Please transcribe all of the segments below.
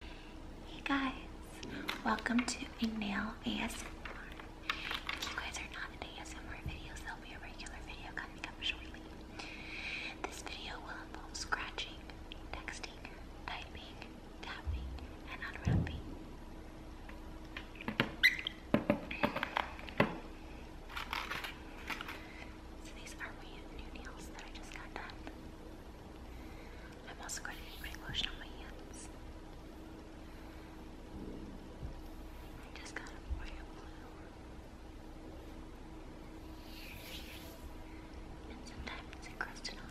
Hey guys, welcome to a nail ASMR. If you guys are not in ASMR videos, there'll be a regular video coming up shortly. This video will involve scratching, texting, typing, tapping, and unwrapping. So these are my new nails that I just got done. I'm also going to be putting lotion on my hands. I just got a royal blue. And sometimes it's encrusted on it.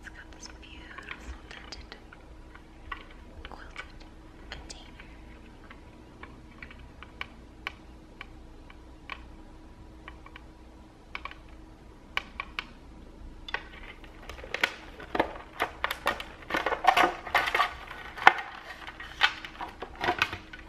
It's got this beautiful dented quilted container.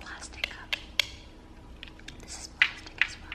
Plastic cup. This is plastic as well.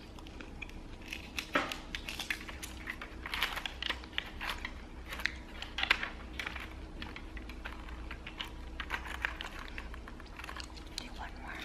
Do one more.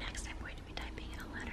Next, I'm going to be typing a letter.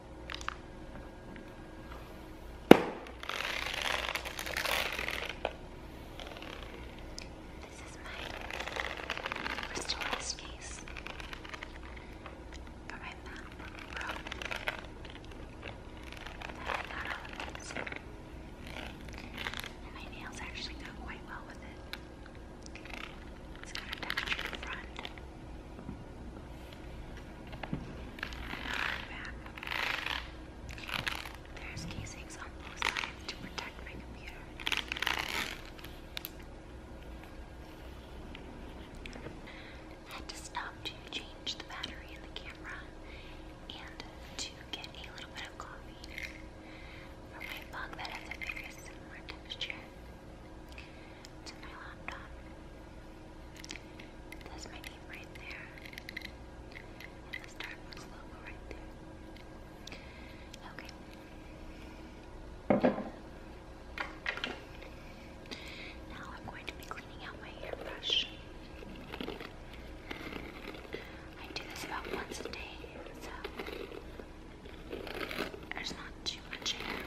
This is my crystal rest case for my MacBook Pro. I got all of this. And my nails actually go quite well with it. It's got a textured front back. There's casings on both sides to protect my computer. Had to stop to change the battery in the camera and to get a little bit of coffee for my mug that has a very similar texture to my laptop. That's my name right there. And the Starbucks logo right there. Okay. Now I'm going to be cleaning out my hairbrush. I do this about once a day, so there's not too much hair.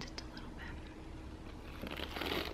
Just a little bit. Just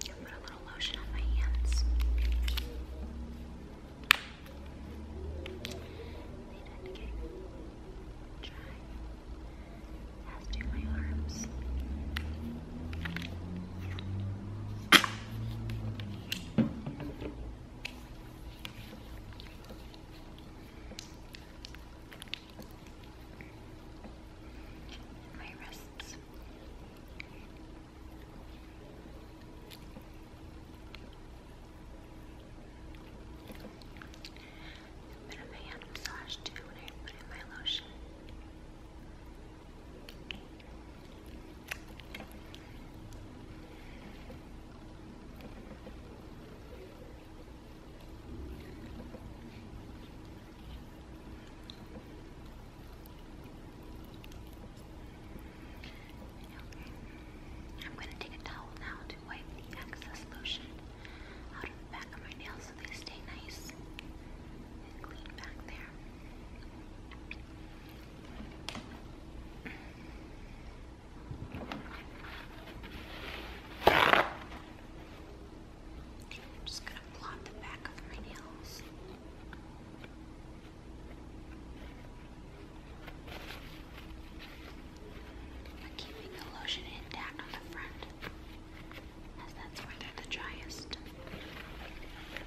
Put a little lotion on my hands. They tend to get dry. As do my arms. My wrists. A bit of a hand massage too when I put in my lotion. I'm going to take a towel now to wipe the excess lotion out of the back of my nails so they stay nice and clean back there. I'm just going to blot the back of my nails. But keeping the lotion intact on the front, as that's where they're the driest. I'm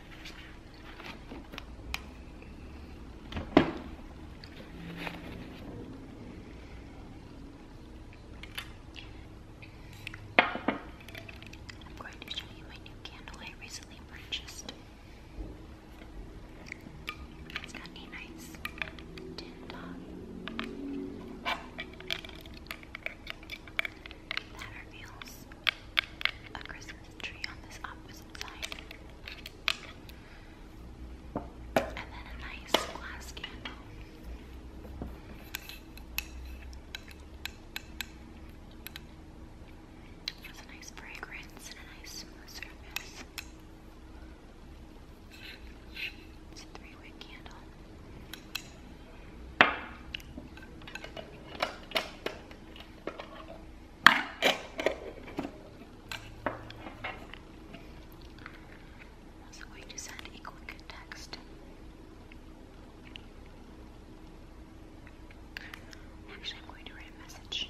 going to show you my new candle I recently purchased. It's got a nice tint on. That reveals a Christmas tree on this opposite side. And then a nice glass candle. It a nice fragrance and a nice smooth It's a three wick candle. i going to send a quick text. Actually, I'm going to write a message.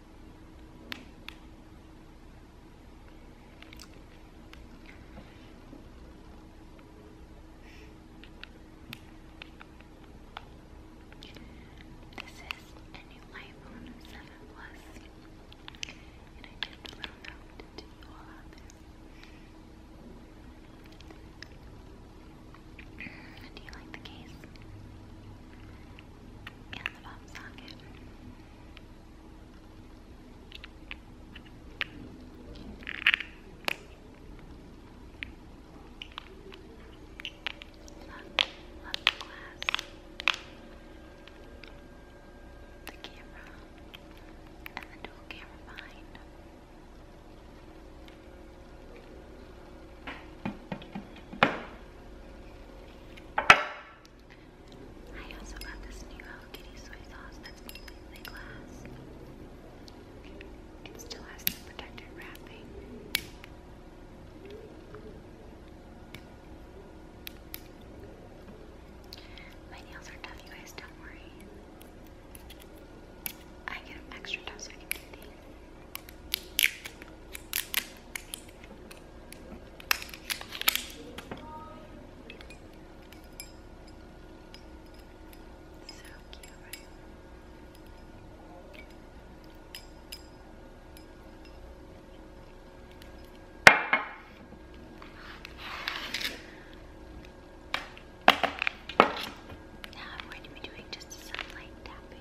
This is a new iPhone 7 Plus, and I just a little note to you all out there. Do you like the case? And the pop socket. Love, love the glass, the camera, and the dual camera behind. I also got this new Hello Kitty soy sauce that's completely glass. It still has the protective wrapping. My nails are tough, you guys, don't worry. I get extra tough so I can do these cute, right? Now I'm going to be doing just some light tapping.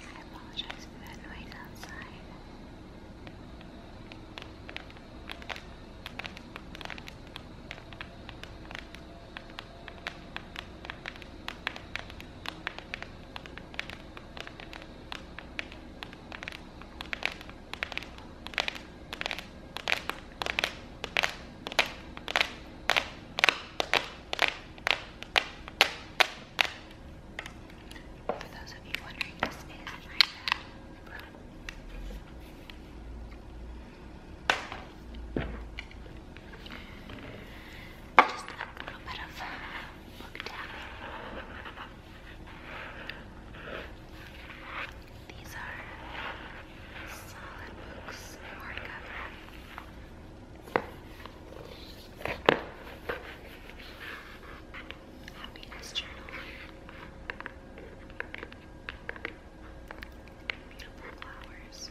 I apologize for that noise outside. For those of you wondering, this is my bed. Just a little bit of book tapping. These are solid books, hardcover. Happiness Journal. Beautiful flowers.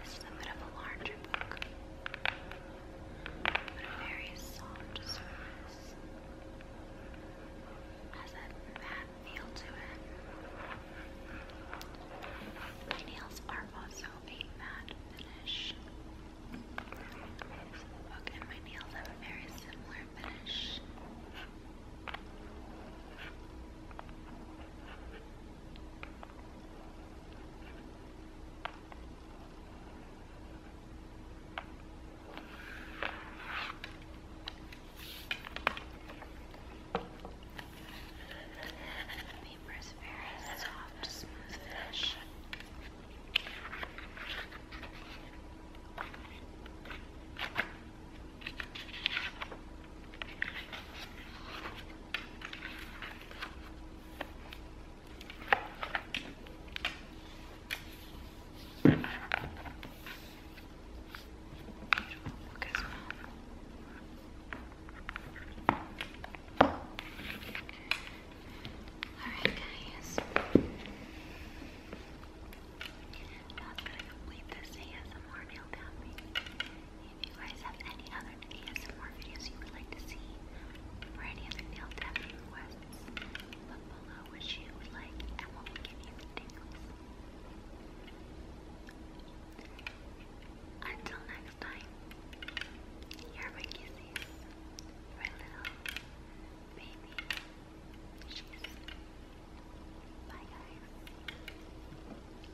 This is a bit of a larger book, but a very soft surface. Has a matte feel to it. My nails are also a matte finish. So book and my nails have a very similar finish. The paper is very soft, smooth finish. Alright guys. Now it's gonna complete this ASMR meal tapping if you guys have any other ASMR videos you would like to see, or any other nail tapping requests, put below what you would like and what will give you the tingles. Until next time, here are my kisses for little baby cheese. Bye guys.